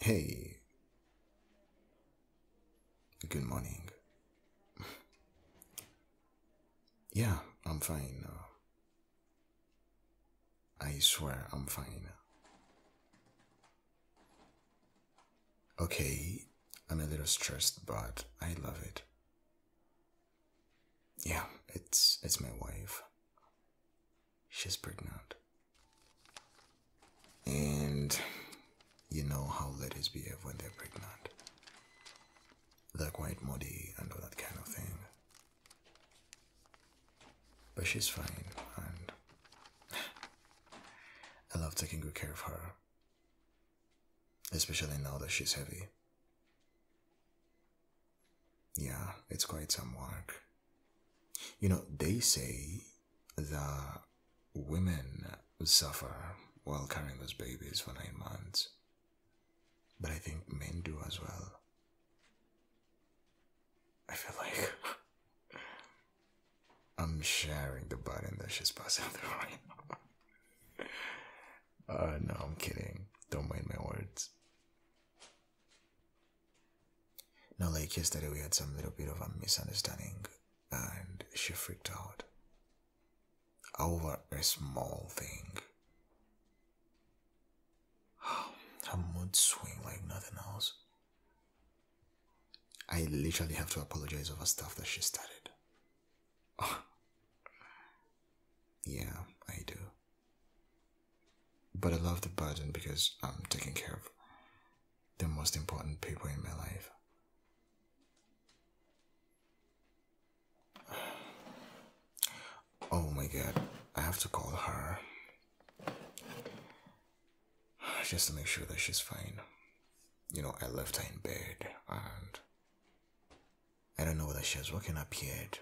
Hey. Good morning. yeah, I'm fine. I swear I'm fine. Okay, I'm a little stressed, but I love it. Yeah, it's it's my wife. She's pregnant. And you know how ladies behave when they're pregnant. They're quite moody and all that kind of thing. But she's fine, and I love taking good care of her. Especially now that she's heavy. Yeah, it's quite some work. You know, they say the women suffer while carrying those babies for nine months. But I think men do as well. I feel like I'm sharing the button that she's passing through right now. Uh, no, I'm kidding. Don't mind my words. Now, like yesterday we had some little bit of a misunderstanding and she freaked out over a small thing. Her mood swing like nothing else. I literally have to apologize over stuff that she started. Yeah, I do. But I love the burden because I'm taking care of the most important people in my life. Oh my god, I have to call her. Just to make sure that she's fine. You know, I left her in bed and I don't know whether she has woken up yet,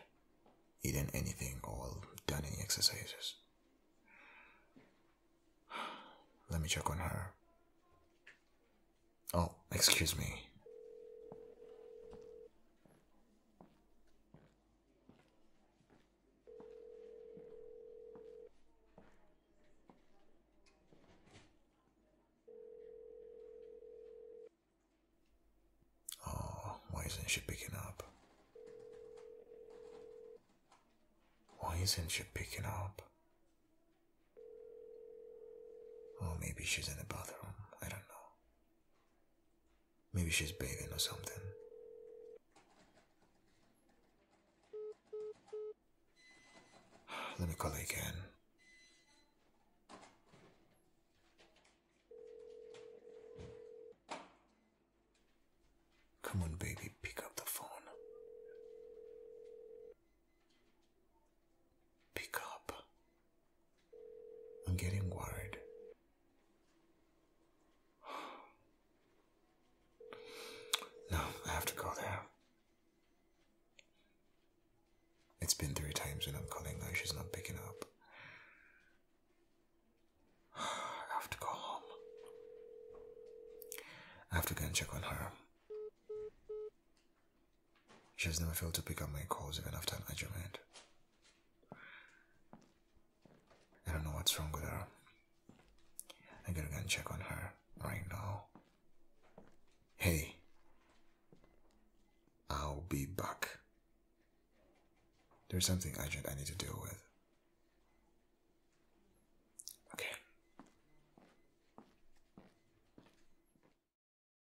eaten anything, or done any exercises. Let me check on her. Oh, excuse me. Oh, why isn't she picking up? Why isn't she picking up? Oh, maybe she's in the bathroom. I don't know. Maybe she's bathing or something. Let me call again. Come on, baby, pick up the phone. Pick up. I'm getting worried. No, I have to go there. It's been three times when I'm calling her, she's not picking up. I have to go home. I have to go and check on her. She has never failed to pick up my calls even after an argument. I don't know what's wrong with her. I gotta go and check on her right now. Hey, I'll be back. There's something urgent I need to deal with. Okay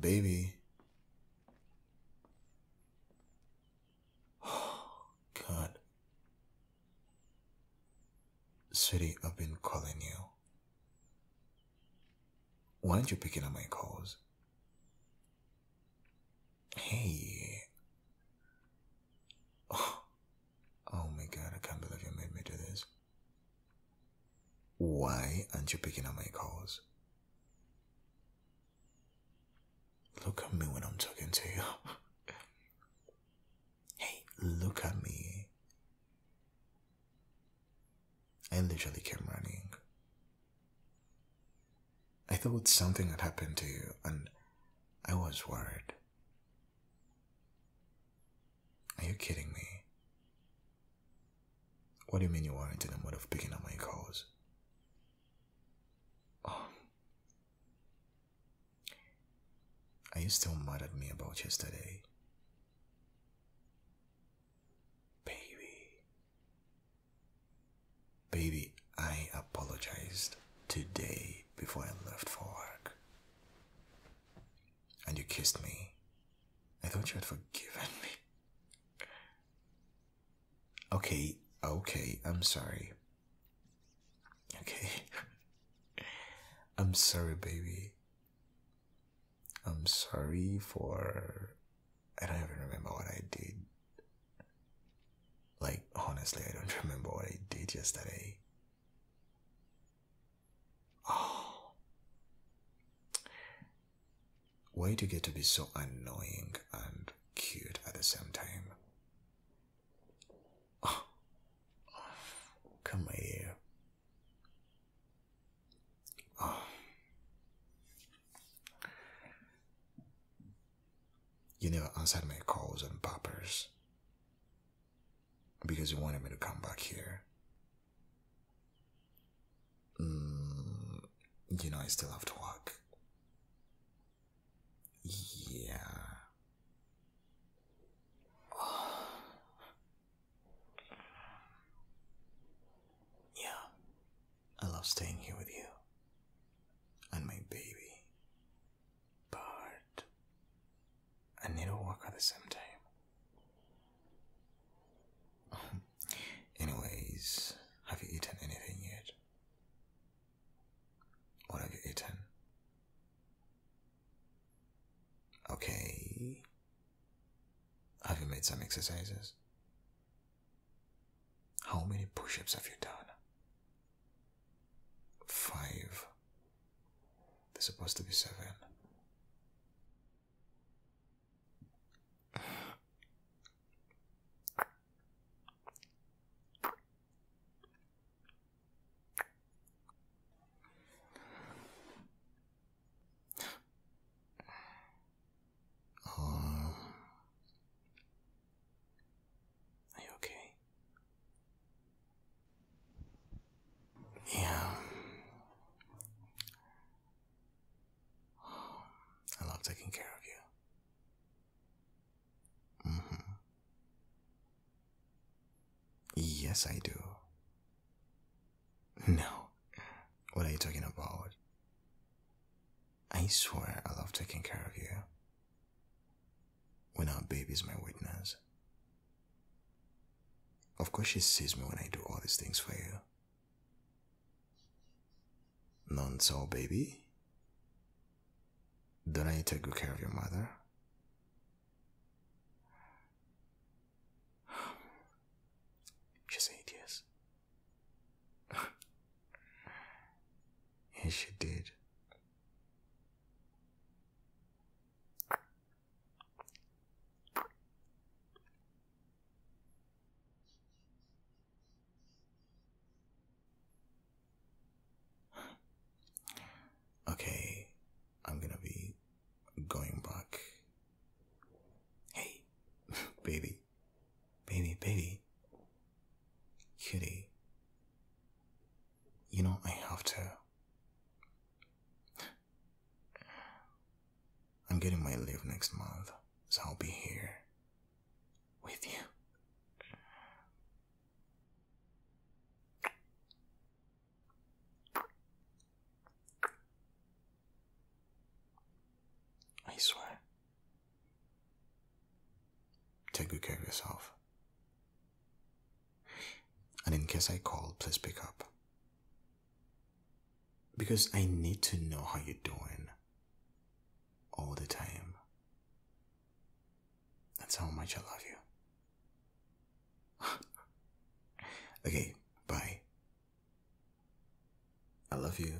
Baby. God. Sweetie, I've been calling you. Why aren't you picking up my calls? Hey. Oh. my god, I can't believe you made me do this. Why aren't you picking up my calls? Look at me when I'm talking to you. hey, look at me. I literally came running. I thought something had happened to you, and I was worried. Are you kidding me? What do you mean you are not in the mood of picking up my calls? Um, are you still mad at me about yesterday? Baby. Baby, I apologized today before I left for work and you kissed me. I thought you had forgiven me. Okay, okay, I'm sorry. Okay. I'm sorry, baby. I'm sorry for. I don't even remember what I did. Like, honestly, I don't remember what I did yesterday. Oh. Why do you get to be so annoying and cute at the same time? Oh. Come here. Oh. You never answered my calls and poppers because you wanted me to come back here Mm, you know, I still have to work. Yeah. Yeah. I love staying here with you and my baby. But I need to work at the same time. Anyways, have you eaten anything yet? What have you eaten? Okay. Have you made some exercises? How many push ups have you done? Five. They're supposed to be seven. Um, are you okay? Yeah. I love taking care of you. Mm hmm. Yes, I do. No. What are you talking about? I swear I love taking care of you when our baby is my witness. Of course, she sees me when I do all these things for you. None so, baby. Don't I take good care of your mother? She said yes. yes, she did. Okay, I'm gonna be going back. Hey, baby, baby, baby, cutie, you know, I have to. I'm getting my leave next month, so I'll be here with you. I swear. Take good care of yourself. And in case I call, please pick up. Because I need to know how you're doing all the time. That's how much I love you. okay, bye. I love you.